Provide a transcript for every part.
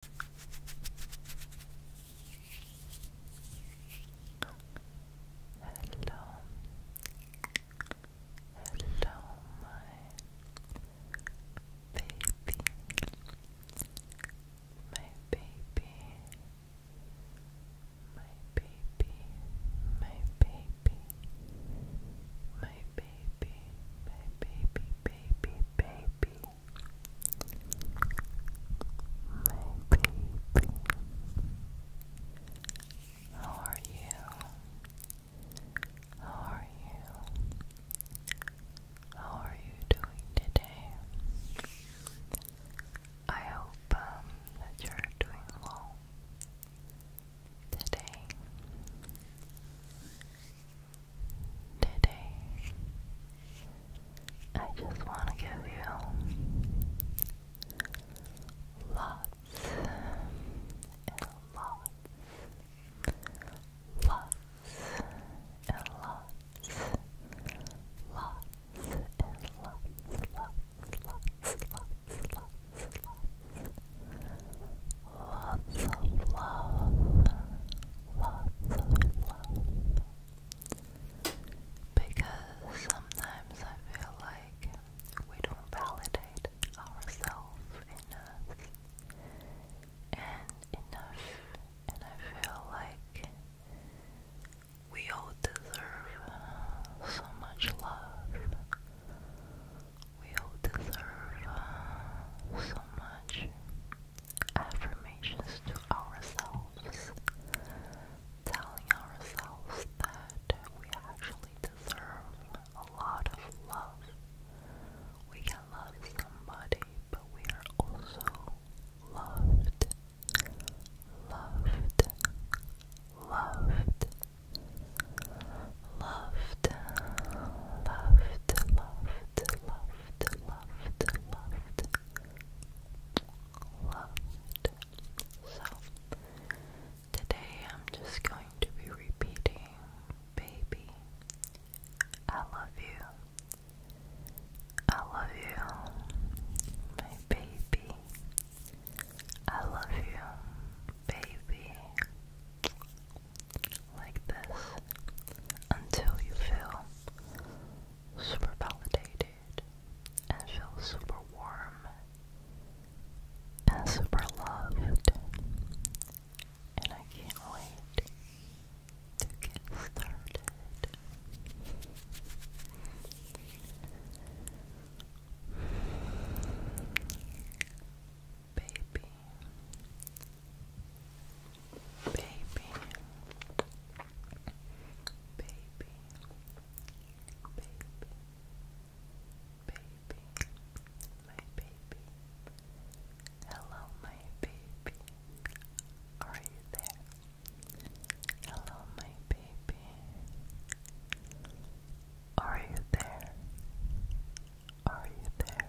Hello, hello, my baby, my baby, my baby, my baby, my baby, my baby, baby, baby. My how are you? How are you? How are you doing today? I hope um, that you're doing well today. Today, I just want to give you lots and lots, lots and lots, lots and lots, lots, lots, lots. Lots of love, love, Because sometimes I feel like we don't validate ourselves enough and enough, and I feel like we all deserve so much love. We all deserve so much affirmations to ourselves, telling ourselves that we actually deserve a lot of love. We can love somebody, but we are also loved, loved, loved, loved, loved, loved, loved. loved loved, loved, loved, loved. So today I'm just going to be repeating, baby, I love you. I love you, my baby. I love you, baby like this until you feel super validated and feel super warm and super loved. And I can't wait to get started. Baby, Baby. Baby. Baby. Baby. My baby. Hello, my baby. Are you there? Hello, my baby. Are you there? Are you there?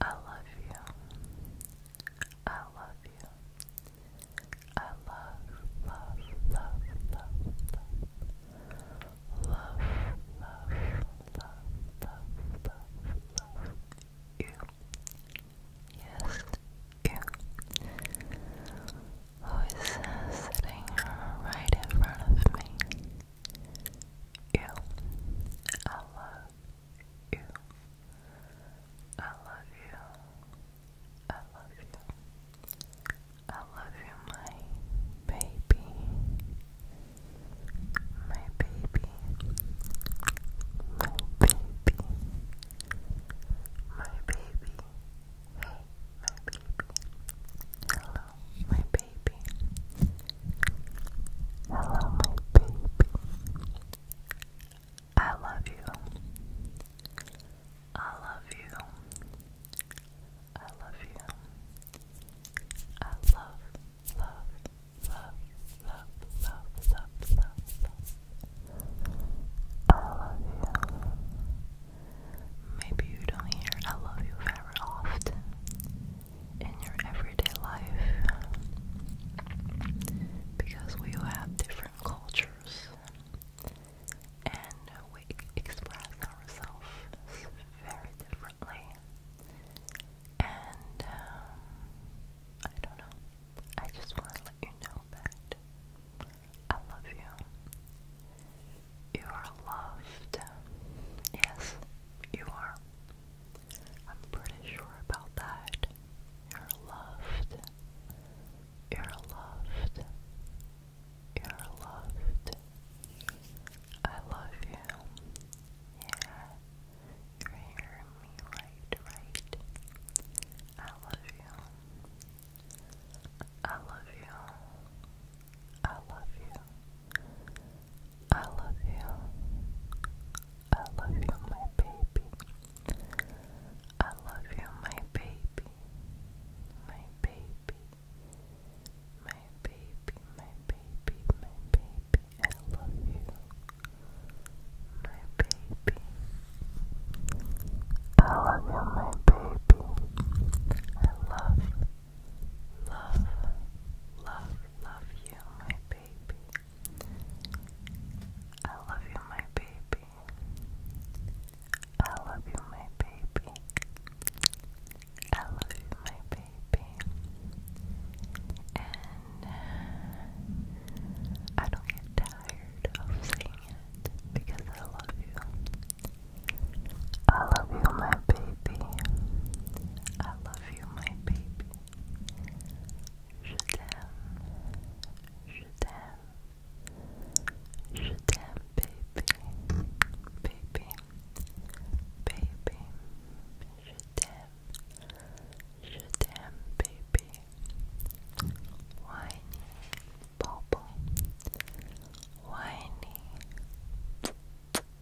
I love you. I love you. I love, love, love, love, love, love, love, love, love, you. Yes, you. Who is sitting right in front of me? you. I love you. I love you. I love you. I love you, my baby. My baby. My baby. My baby. Hey, my baby. Hello, my baby baby. Hello, my baby. I love you. I love you. I love you. I love, love, love, love, love, love, love, I love you. Maybe you don't hear I love you very often in your everyday life because we all have different cultures and we express ourselves very differently. And um, I don't know. I just want to let you know that I love you. You are loved. Yes, you are. I'm pretty sure about that. You're loved. You're loved. You're loved. I love you. Yeah. You're hearing me right, right. I love you. I love you. I love you. I love you. I love you, my baby. I love you, my baby. My baby. My baby, my baby, my baby. I love you. My baby. I love you, my baby. I love Love, love, love you, my baby. I love you, my baby. I love you, my baby. I love you, my baby. And I don't get tired of saying it because I love you. I love you, my baby. I love you, my baby. Je t'aime. Je t'aime. Je t'aime, baby. Baby. Baby. Je t'aime. Je t'aime, baby.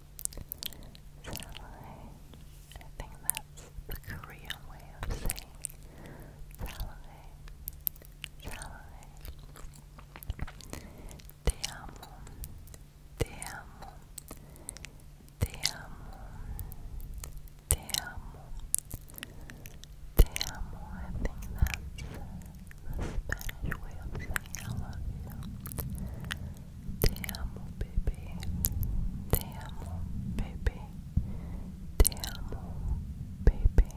Salé. I think that's the Korean way of saying salé. Salé. Te amo. Te amo. Te amo. Te amo. Te amo. I think that's the Spanish way of saying I love you. Te amo, bebé. Te amo, bebé. Te amo, bebé.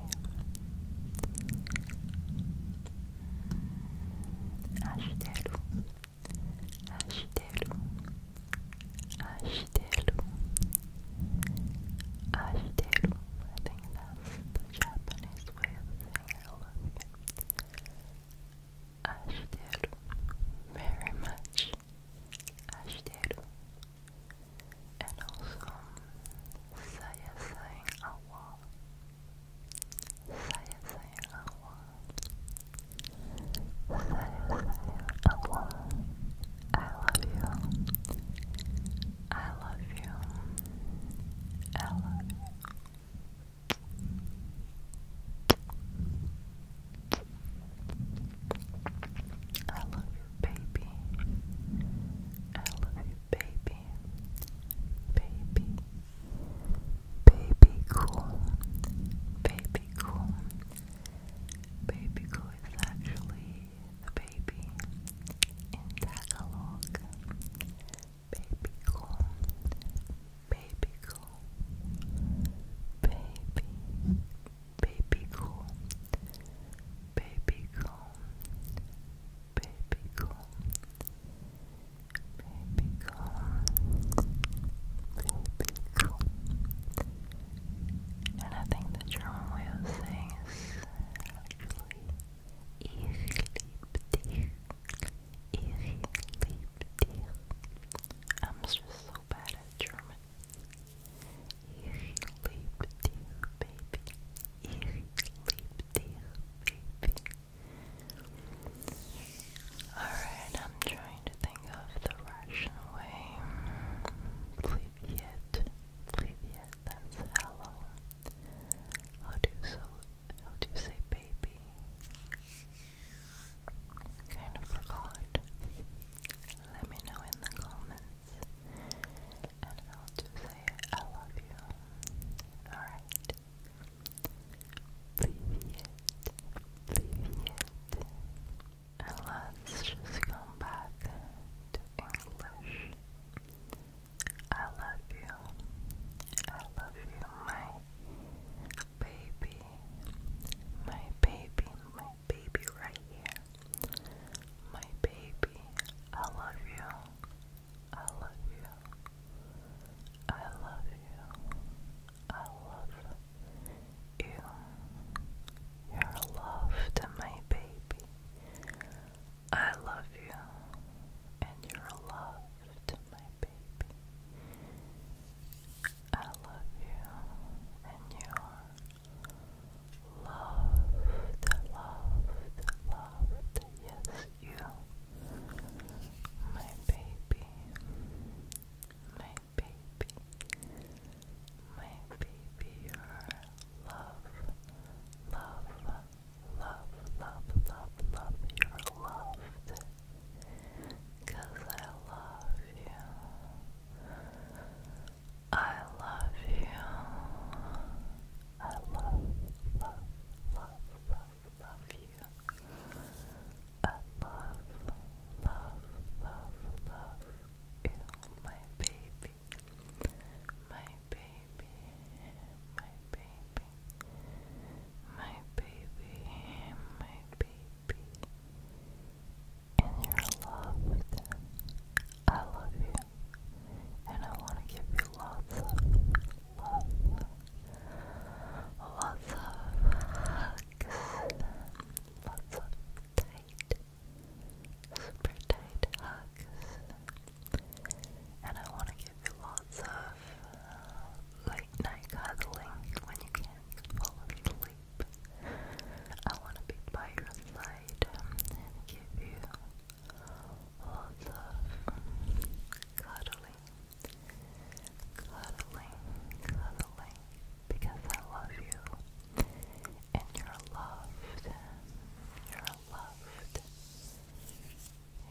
Agitelo. Agitelo. Agitelo. Agitelo. I think that's the Japanese way of saying love you. Ashiteru very much. Ashiteru. And also Saya saying I love you. I I love you. I I love I love you. I love you. I love I love you I love you, baby. I love you, baby. Baby. Baby cool. Baby cool. Baby cool is actually the baby in Tagalog. Baby cool baby cool, baby, baby cool, baby cool, baby cool, baby cool, baby cool. And I think the German way of saying is actually ich lieb dich. Irritativ. I'm just so bad at German. Irritativ, baby. Irritativ, baby. Alright, I'm trying to think of the Russian way. Privyet. Privyet, that's hello. How do so how do say baby? Kind of forgot. Let me know in the comments. And how to say I love you. Alright. Привет. Привет. And let's just come back to English. I love you. I love you, my baby, my baby, my baby right here. My baby, I love you. I love you. I love you. I love you. You're loved, my baby. I love you. And you're loved, my baby. I love you, and you are loved, loved, loved. Yes, you, my baby, my baby, my baby. You are love, love, love, love, love, love. You are loved. Cause I love you. I love you. I love, love, love, love, love you. I love, love, love, love you, my baby. My baby, my baby my baby, my baby, and you're loved. I love you, and I want to give you lots of love, lots of hugs, lots of tight, super tight hugs, and I want to give you lots of late night cuddling when you can't fall asleep. I want to be by your side um, and give you lots of cuddling, cuddling, cuddling, because I love you and you're loved, you're loved.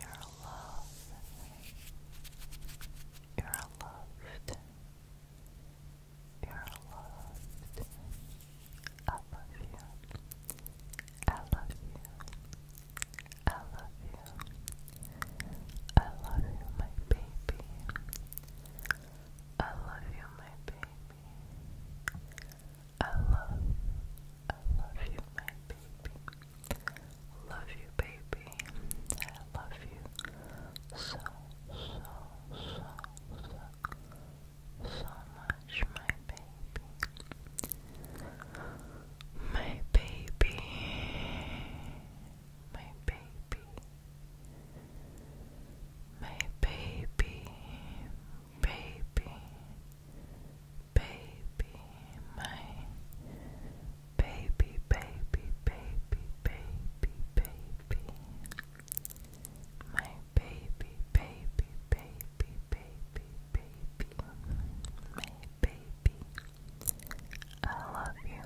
You're loved. You're loved. You're loved. I love you. I love you. I love you. I love you, my baby. I love you, my baby. I love, I love you, my baby. Love you, baby. I love you so, so, so, so, so much, my baby. My baby. My baby. My baby. Baby. Baby. My baby, baby, baby, baby, baby, my baby, baby, baby, baby, baby, my baby. I love you.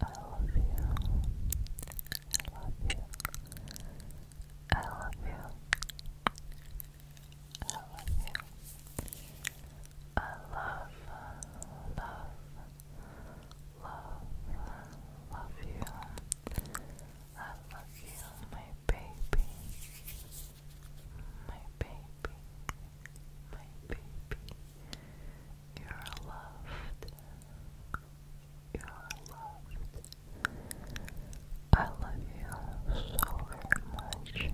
I love you. I love you. I love you. I I love you. I love, love, love, love you. I love you, my baby. My baby. My baby. You're loved. You're loved. I love you so very much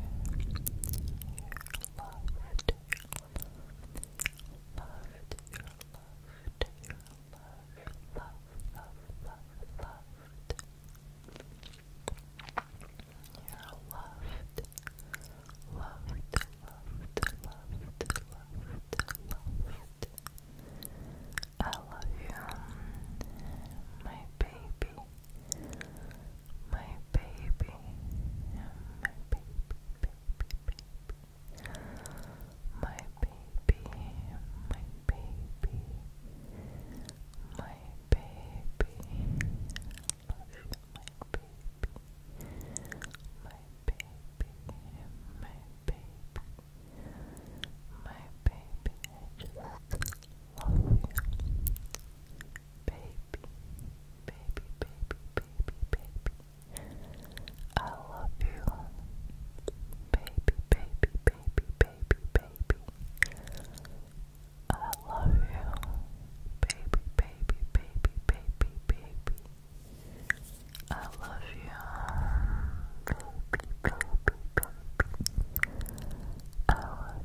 loved, loved, loved, loved, loved, loved, loved, loved, loved, loved, loved. I love you, my baby my baby, my baby, baby, baby, my baby, my baby, my baby, you, my baby, my baby, my baby, my baby, just love you baby, baby, baby, baby, baby. I love you, baby, baby, baby, baby, baby. I love you, baby, baby, baby, baby, baby. I love you, baby, baby, baby. I love you.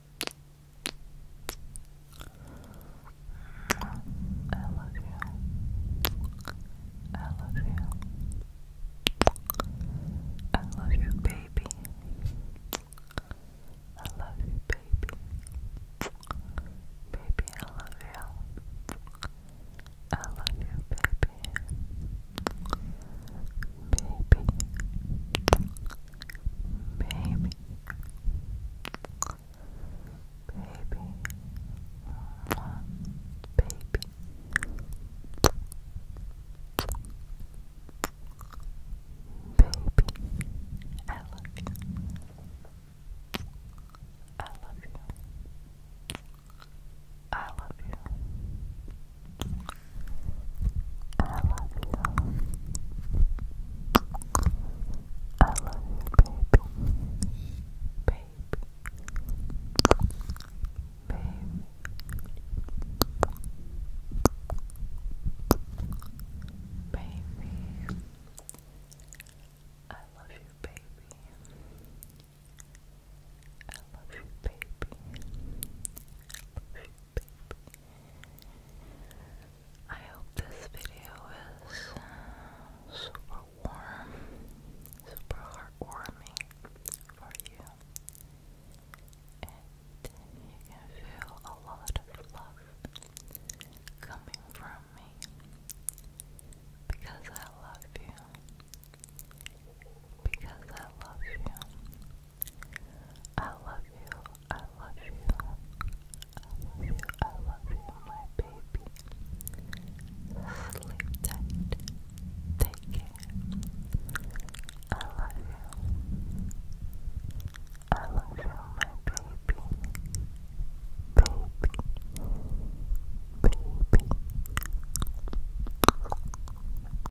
I love you. I love you. I love you, baby. I love you, baby. Baby, I love you. I love you, baby baby, baby, Mwah. baby. Baby, I love you. I love you. I love you. I love you. I love you, baby. Baby. Baby. Baby. I love you, baby. I love you, baby. I hope this video is uh, super warm, super heartwarming for you. And you can feel a lot of love coming from me because I love you. Because I love you. I love you, I love you, I love you, I love you, my baby. Sleep tight, take care. I love you, I love you, my baby, baby, baby.